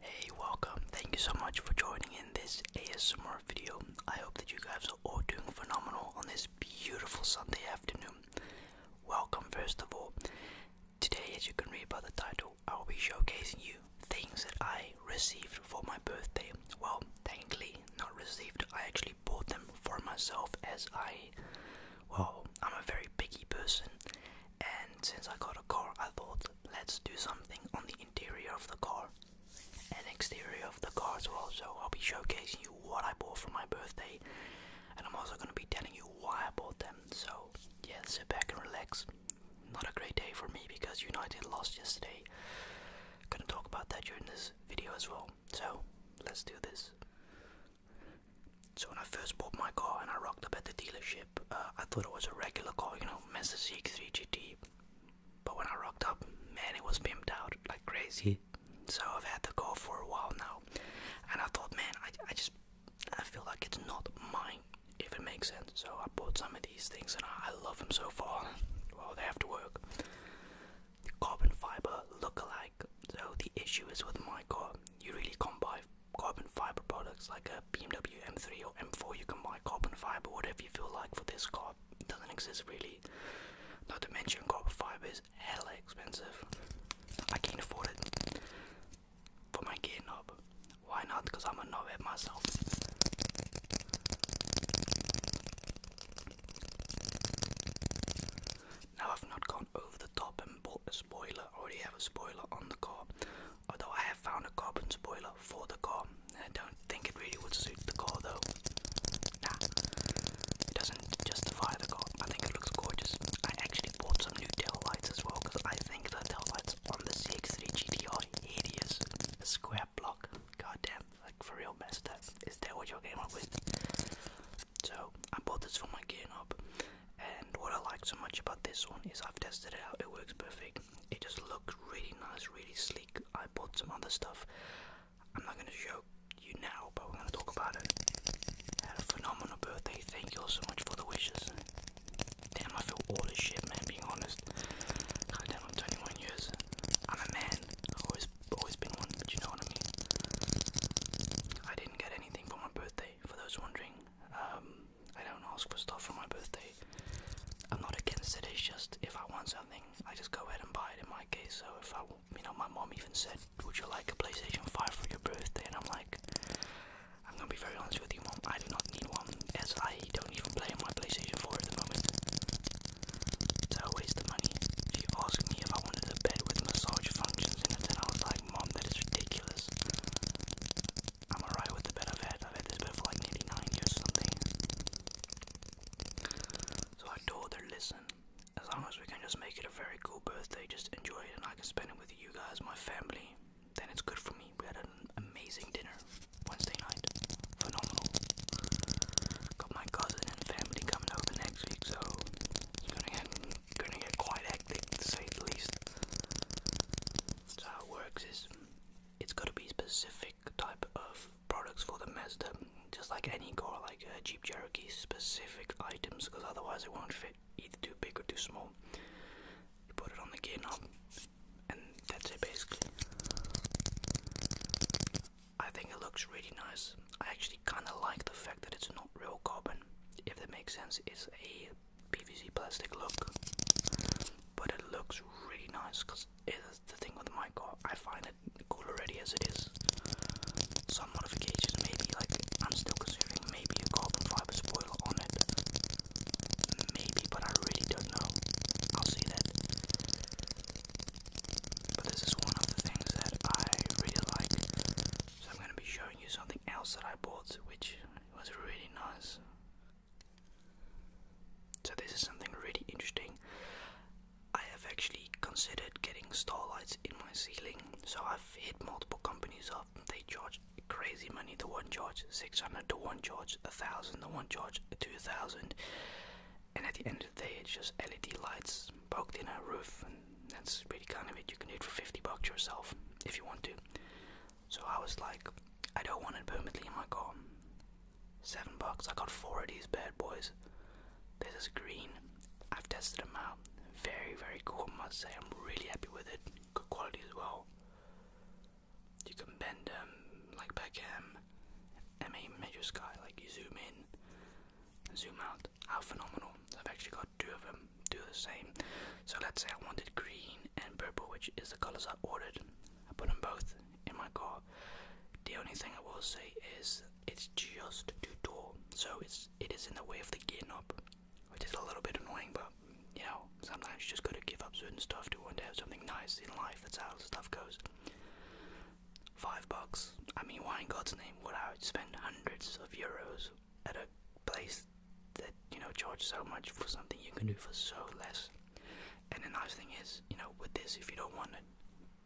Hey, welcome. Thank you so much for joining in this ASMR video. I hope that you guys are all doing phenomenal on this beautiful Sunday afternoon. Welcome, first of all. Today, as you can read by the title, I will be showcasing you things that I received for my birthday. Well, thankfully, not received, I actually bought them for myself as I, well, I'm a very picky person and since I got a car I thought let's do something on the interior of the car and exterior of the car as well so I'll be showcasing you what I bought for my birthday and I'm also going to be telling you why I bought them so yeah sit back and relax not a great day for me because United lost yesterday gonna talk about that during this video as well so let's do this so when I first bought my car and I rocked up at the dealership, uh, I thought it was a regular car, you know, Mazda CX3 GT. But when I rocked up, man, it was pimped out like crazy. So I've had the car for a while now, and I thought, man, I, I just I feel like it's not mine, if it makes sense. So I bought some of these things, and I, I love them so far. Well, they have to work. Carbon fiber look-alike. So the issue is with my car, you really can't buy carbon fiber products like a BMW M3 or M4. You can buy carbon fiber, whatever you feel like for this car. doesn't exist really. Not to mention carbon fiber is hella expensive. I can't afford it for my gear knob. Why not? Because I'm a knobhead myself. Now I've not gone over the top and bought a spoiler. I already have a spoiler on the car. Although I have found a carbon spoiler for the car. I don't think it really would suit the car though. Nah, it doesn't justify the car. I think it looks gorgeous. I actually bought some new tail lights as well because I think the tail lights on the CX3 GT hideous. square block, goddamn, like for real messed up. Is that what you're up with? So I bought this for my gearing up. And what I like so much about this one is I've tested it out, it works perfect. It just looks really nice, really sleek. I bought some other stuff. I'm not going to show you now, but we're going to talk about it. I had a phenomenal birthday. Thank you all so much for the wishes. Damn, I feel all this shit, man, being honest. God I'm 21 years. I'm a man. I've always, always been one, but you know what I mean. I didn't get anything for my birthday, for those wondering. Um, I don't ask for stuff for my birthday. I'm not against it. It's just if I want something, I just go ahead and buy it. In my case, so if I, you know, my mom even said, "Would you like a PlayStation 5 for your birthday?" and I'm like, "I'm gonna be very honest with you, mom. I do not need one, as I don't even play on my PlayStation 4 at the moment. So a waste of money." She asked me if I wanted a bed with massage functions in it, and I was like. Mom, that is ridiculous. I'm alright with the bed I've had. I've had this bed for like nearly years or something. So I told her, listen, as long as we can just make it a very cool birthday, just enjoy it and I can spend it with you guys, my family, then it's good for me. We had an amazing dinner Wednesday night. Phenomenal. Got my cousin and family coming over next week, so it's gonna get gonna get quite hectic to say the least. So how it works is it's gotta be specific type of products for the Mazda, just like any car, like a Jeep Cherokee, specific items, because otherwise it won't fit, either too big or too small. You put it on the gear knob, and that's it basically. I think it looks really nice. I actually kind of like the fact that it's not real carbon, if that makes sense. It's a PVC plastic look, but it looks really nice because it's the thing with my car. I find it cool already as it is. Some modifications, maybe like I'm still considering maybe a carbon fiber spoiler on it, maybe, but I really don't know. I'll see that. But this is one of the things that I really like so I'm going to be showing you something else that I bought, which was really nice. So this is something really interesting. I have actually considered getting starlights in my ceiling, so I've hit multiple companies up. They charge crazy money. The one charge 600, the one charge 1000, the one charge 2000. And at the end of the day, it's just LED lights poked in a roof, and that's pretty kind of it. You can do it for 50 bucks yourself if you want to. So I was like, I don't want it permanently in my car. Seven bucks. I got four of these bad boys. This is green. I've tested them out. Very, very cool. I must say, I'm really happy with it. Good quality as well. You can bend them like Beckham. I mean, major sky. Like you zoom in, zoom out how phenomenal. I've actually got two of them do the same. So let's say I wanted green and purple, which is the colors I ordered. I put them both in my car. The only thing I will say is it's just too tall, so it's it is in the way of the gear knob, which is a little bit annoying. But you know, sometimes you just got to give up certain stuff to want to have something nice in life. That's how stuff goes. Five bucks. I mean, why in God's name would I spend hundreds of euros at a place that you know charge so much for something you can do for so less. And the nice thing is, you know, with this, if you don't want to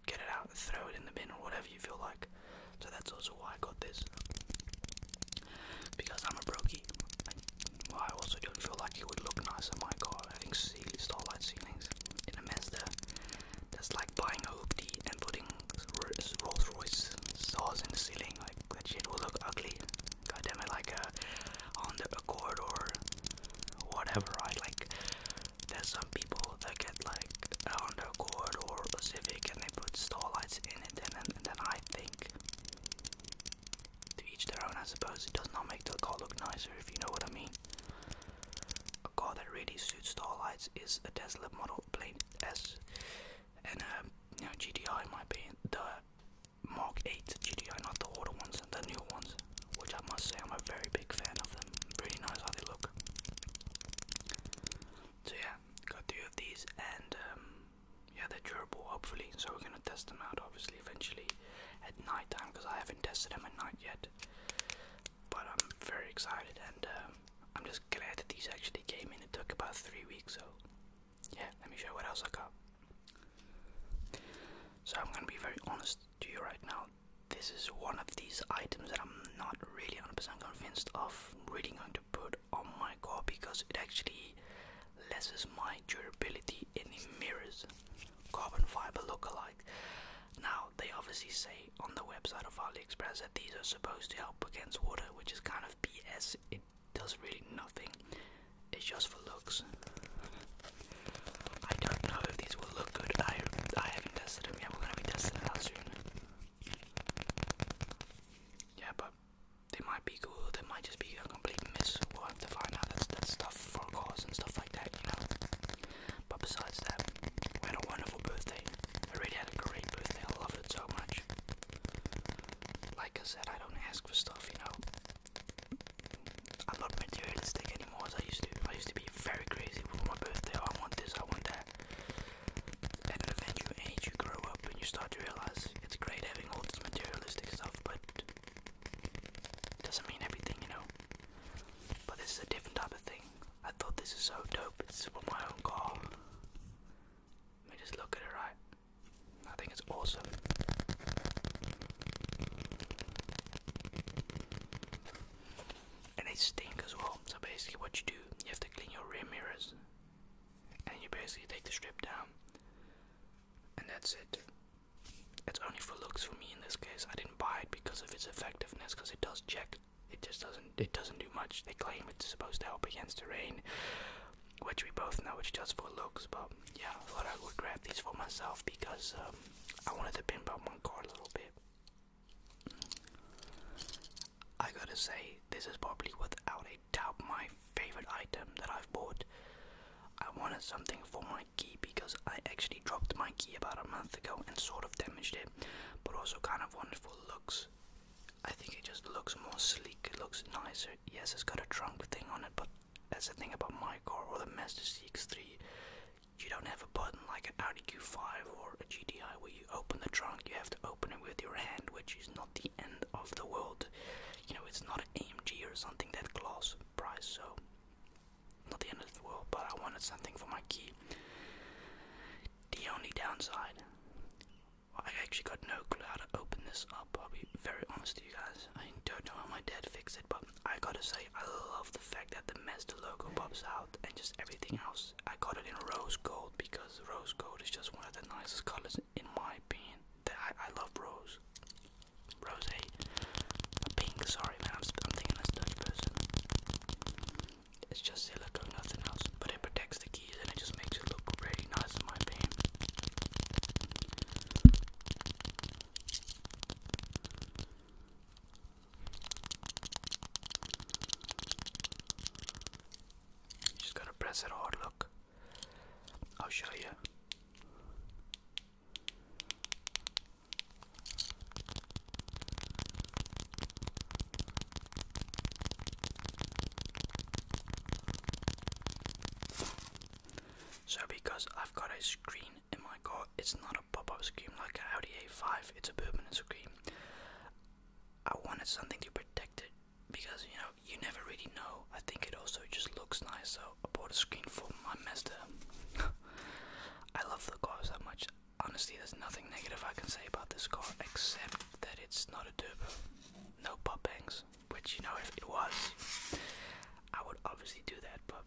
get it out, throw it in the bin or whatever you feel like. So that's also why I got this. Because I'm a brokey. I also don't feel like it would look nice on my car having starlight ceilings in a mess there. That's like buying a hoopty and putting Rolls Royce stars ceiling. Like that shit will look ugly. God it, like uh, on Accord or whatever, right? Like there's some people that get like a Honda Accord or a Civic and they put starlights in it, and then, I think to each their own. I suppose it does not make the car look nicer, if you know what I mean. A car that really suits starlights is a Tesla Model S and um, you know GDI might be the Mark 8 GDI, not the older ones, the newer ones, which I must say I'm a very big fan of them. Pretty nice how they look. So yeah, got three of these, and um, yeah, they're durable hopefully. So we're gonna test them out obviously eventually at night time because I haven't tested them at night yet. But I'm very excited and um, I'm just glad that these actually came in. It took about three weeks, so yeah, let me show what else I got. So I'm gonna be very honest to you right now. This is one of these items that I'm not really 100 convinced of really going to put on my core because it actually lessens my durability in the mirrors. Carbon fiber look alike. Now they obviously say on the website of AliExpress that these are supposed to help against water, which is kind of BS. It does really nothing, it's just for looks. I don't know if these will look good. I, I haven't tested them yet, we're gonna be testing them soon. Yeah, but they might be cool, they might just be a complete miss. we have to find out. That's, that's stuff for cause and stuff like that, you know. But besides that, we had a wonderful birthday. I really had a great birthday. I loved it so much. Like I said, I don't ask for stuff, you know. I'm not materialistic anymore as I used to. I used to be very crazy with my birthday. Oh, I want this, I want that. And an you age, you grow up and you start to realize it's great having all this materialistic stuff, but it doesn't mean everything, you know. But this is a different type of thing. I thought this is so dope. It's for my own car. Let me just look at it right. I think it's awesome. And they stink as well. So basically, what you do, you have to clean your rear mirrors, and you basically take the strip down, and that's it. It's only for looks for me in this case. I didn't buy it because of its effectiveness, because it does check it just doesn't it doesn't do much. They claim it's supposed to help against the rain, which we both know it's just for looks. But yeah, I thought I would grab these for myself because um, I wanted to pimp out my car a little bit. I gotta say, this is probably without a doubt my favorite item that I've bought. I wanted something for my key because I actually dropped my key about a month ago and sort of damaged it, but also kind of wanted for looks. I think it just looks more sleek, it looks nicer. Yes, it's got a trunk thing on it, but that's the thing about my car or the Mazda CX3. You don't have a button like an Audi Q5 or a GDI where you open the trunk, you have to open it with your hand, which is not the end of the world. You know, it's not an AMG or something that class price, so not the end of the world, but I wanted something for my key. The only downside, I actually got no clue how to open this up. I'll be very honest to you guys. I don't know how my dad fixed it, but I gotta say, I love the fact that the Mazda logo pops out and just everything else. I got it in rose gold because rose gold is just one of the nicest colors in my opinion. I, I love rose. Rose, eh? pink. Sorry, man. I'm, I'm thinking this Dutch person. It's just a little nothing else. But it protects the keys and it just makes it look pretty nice in my opinion. just gotta press it hard, look. I'll show you. So because I've got a screen in my car, it's not a pop-up screen like an Audi A5, it's a permanent screen. I wanted something to protect it because you know you never really know. I think it also just looks nice, so I bought a screen for my Mazda. I love the car so much honestly, there's nothing negative I can say about this car except that it's not a turbo. No pop bangs, which you know if it was, I would obviously do that. But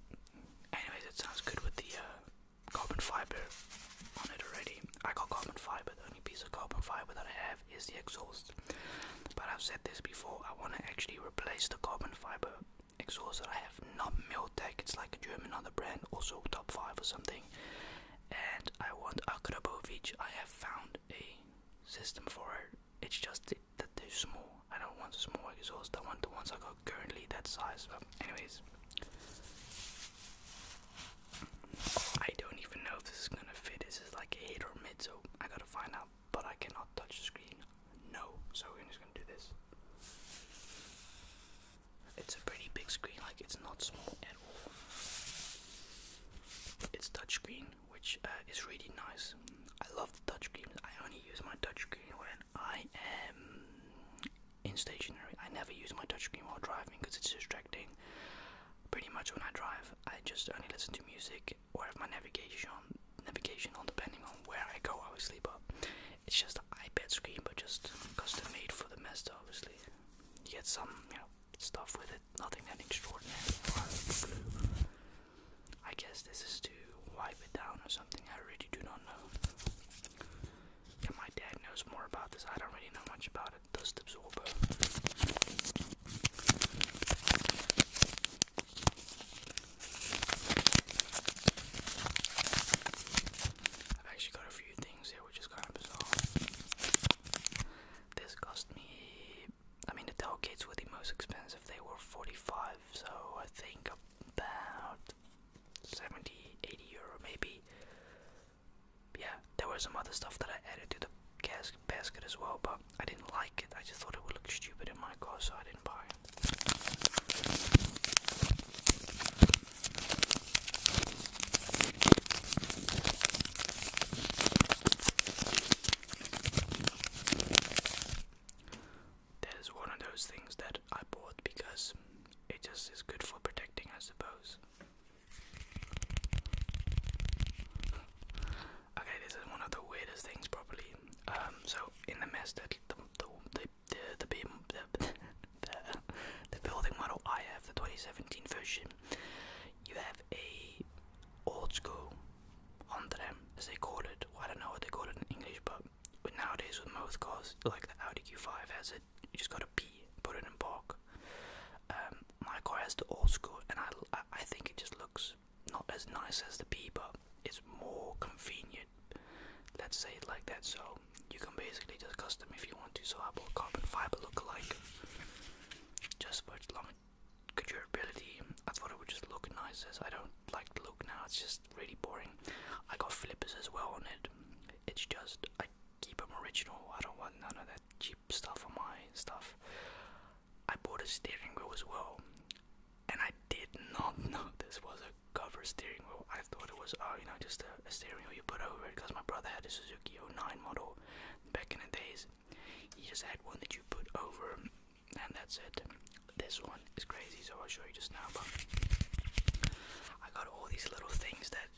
anyways, it sounds good with the uh, carbon fiber on it already. I got carbon fiber. The only piece of carbon fiber that I have is the exhaust. But I've said this before. I want to actually replace the carbon fiber exhaust that I have, not Miltec, it's like a German other brand, also top 5 or something. And I want Akrabovic, I have found a system for it, it's just that they small. I don't want small exhaust, I want the ones I got currently that size. But, anyways, I don't even know if this is gonna fit. This is like a hit or mid, so I gotta find out. But I cannot touch the screen, no. So we're just gonna do this. It's a pretty big screen, like it's not small at all. It's touchscreen, which uh, is really nice. I love the touchscreen. I only use my touchscreen when I am in stationary. I never use my touchscreen while driving because it's distracting. Pretty much when I drive, I just only listen to music or have my navigation, navigation on, depending on where I go. I will sleep It's just it's the iPad screen, but just custom made for the Mesta, obviously. You get some, you know, stuff with it, nothing that extraordinary. I guess this is to wipe it down or something, I really do not know. my dad knows more about this, I don't really know much about it, dust absorber. I've actually got a few things here which is kind of bizarre. This cost me. I mean, the tail kits were the most expensive, they were 45, so I think about 70, 80 euro maybe. Yeah, there were some other stuff that I added to the gas basket as well, but I didn't like it. I just thought it would look stupid in my car, so I didn't buy that is one of those things that I bought because it just is good for protecting, I suppose. Okay, this is one of the weirdest things, probably. Um, so in the mess that the, the the the, building model I have, the 2017 version, you have a old school on them as they call it. I don't know what they call it in English, but nowadays with most cars, like the Audi Q5 has it, you just got a P. put it in park. Um, my car has the old school, and I, I think it just looks not as nice as the P, but it's more convenient Let's say it like that. So you can basically just custom if you want to. So I bought carbon fiber look-alike just for its long durability. I thought it would just look nice as I don't like the look now. It's just really boring. I got flippers as well on it. It's just I keep them original. I don't want none of that cheap stuff on my stuff. I bought a steering wheel as well and I did not know this was a cover steering wheel. I thought it was, uh, you know, just a, a steering wheel you put over it because my brother had a Suzuki 0 09 model back in the days. He just had one that you put over, and that's it. This one is crazy, so I'll show you just now. But I got all these little things that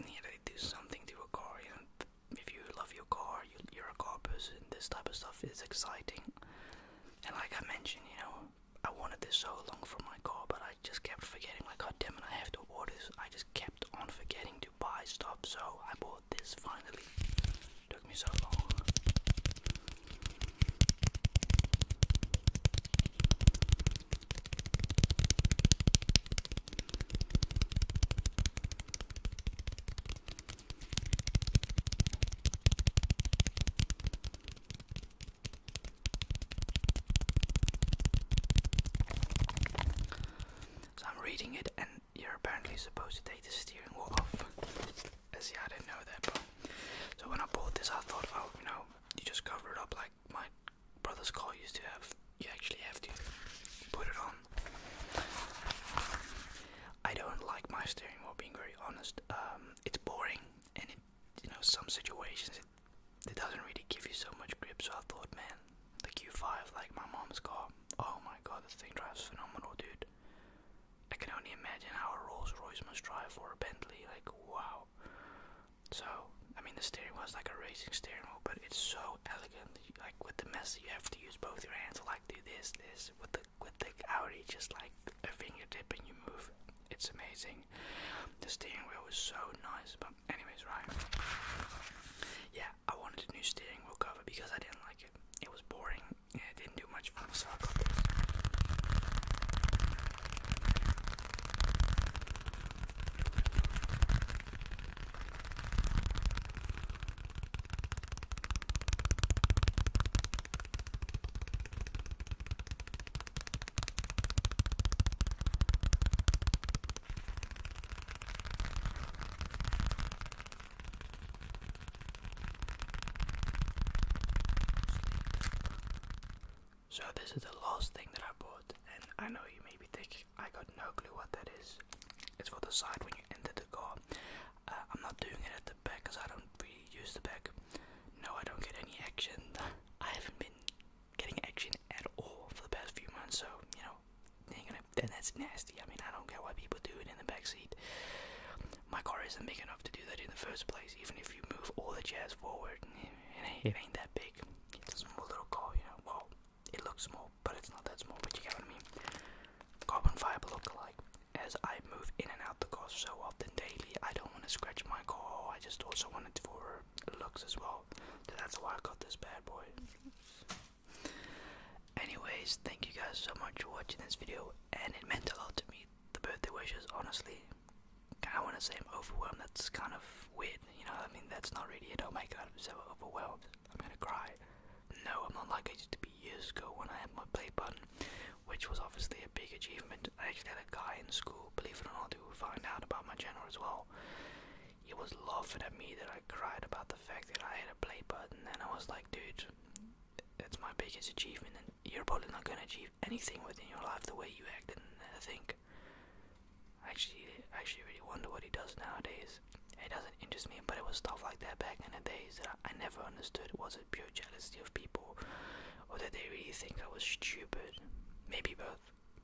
yeah, they do something to a car. You know, if you love your car, you, you're a car person. This type of stuff is exciting. And like I mentioned, you know, I wanted this so long for my car, but I just kept forgetting. Like, god damn it, I have to order this. I just kept on forgetting to buy stuff, so I bought this finally. Took me so long. So I'm reading it, and you're apparently supposed to take the steering wheel off. As yeah, I didn't know that, so when I bought this, I thought, oh, you know, you just cover it up like my brother's car used to have. You actually have to put it on. I don't like my steering wheel, being very honest. Um, it's boring and it you know some situations it, doesn't really give you so much grip so I thought man the Q5 like my mom's car oh my god this thing drives phenomenal dude I can only imagine how a Rolls Royce must drive or a Bentley like wow so I mean the steering wheel is like a racing steering wheel but it's so elegant like with the mess you have to use both your hands like do this this with the with the Audi, just like a fingertip and you move. It's amazing. The steering wheel is so nice. But anyways, right? Yeah, I wanted a new steering wheel cover because I didn't like it. It was boring. it didn't do much for so I got this. So this is the last thing that I bought and I know you may be thinking I got no clue what that is. It's for the side when you enter the. Uh, I'm not doing it at the back because I don't really use the back. No, I don't get any action. I haven't been getting action at all for the past few months, so you know, then that's nasty. I mean, I don't care what people do in the back seat. My car isn't big enough to do that in the first place. Even if you move all the chairs forward, it ain't, that big. It's a small little car, you know. Well, it looks small, but it's not that small. But you get what I mean. Carbon fiber look alike as I move in and out the car so often daily. I don't want to scratch my car. I just also want it for looks as well. So that's why I got this bad boy. Anyways, thank you guys so much for watching this video, and it meant a lot to me. The birthday wishes, honestly. Kind of want to say I'm overwhelmed. That's kind of weird, you know. I mean, that's not really it. Oh my god, I'm so overwhelmed. I'm gonna cry. No, I'm not like I used to be years ago when I had my play button, which was obviously a big achievement. I actually had a guy in school, believe it or not, who find out about my channel as well. He was laughing at me that I cried about the fact that I had a play button, and I was like, dude, that's my biggest achievement, and you're probably not gonna achieve anything within your life the way you acted. And I think, actually, I actually really wonder what he does nowadays. It doesn't interest me, but it was stuff like that back in the days that I never understood. Was it pure jealousy of people, or did they really think I was stupid? Maybe both.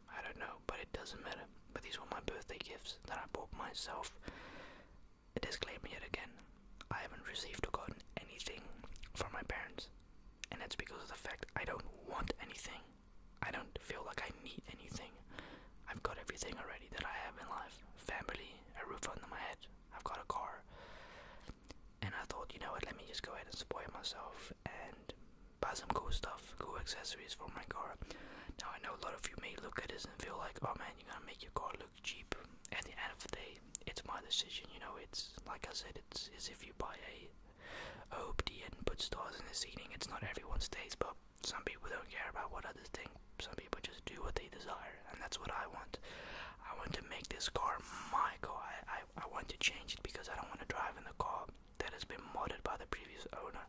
I don't know, but it doesn't matter. But these were my birthday gifts that I bought myself. A disclaimer yet again I haven't received or gotten anything from my parents, and that's because of the fact I don't want anything. I don't feel like I need anything. I've got everything already that I have in life family, a roof under my head, I've got a car. And I thought, you know what, let me just go ahead and spoil myself and buy some cool stuff, cool accessories for my car. Now, I know a lot of you may look at this and feel like, oh man, you're gonna make your car look cheap. At the end of the day, it's my decision, you know, it's like I said, it's as if you buy a, a and put stars in the ceiling. It's not everyone's taste, but some people don't care about what others think some people just do what they desire, and that's what I want. I want to make this car my car. I, I, want to change it because I don't want to drive in the car that has been modded by the previous owner.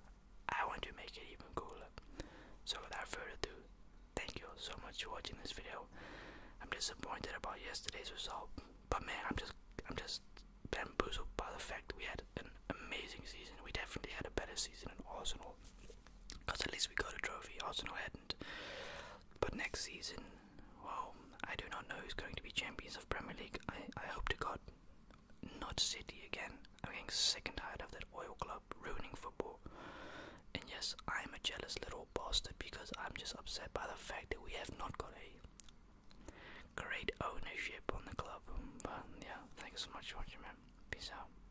I want to make it even cooler. So without further ado, thank you all so much for watching this video. I'm disappointed about yesterday's result, but man, I'm just I'm just bamboozled by the fact we had an amazing season. We definitely had a better season in Arsenal because at least we got a trophy, Arsenal hadn't. But next season, well, I do not know who's going to be champions of Premier League. I, hope to God not City again. I'm getting sick and tired of that oil club ruining football. And yes, I'm a jealous little bastard because I'm just upset by the fact that we have not got a great ownership on the club. But yeah, thanks so much for watching, man. Peace out.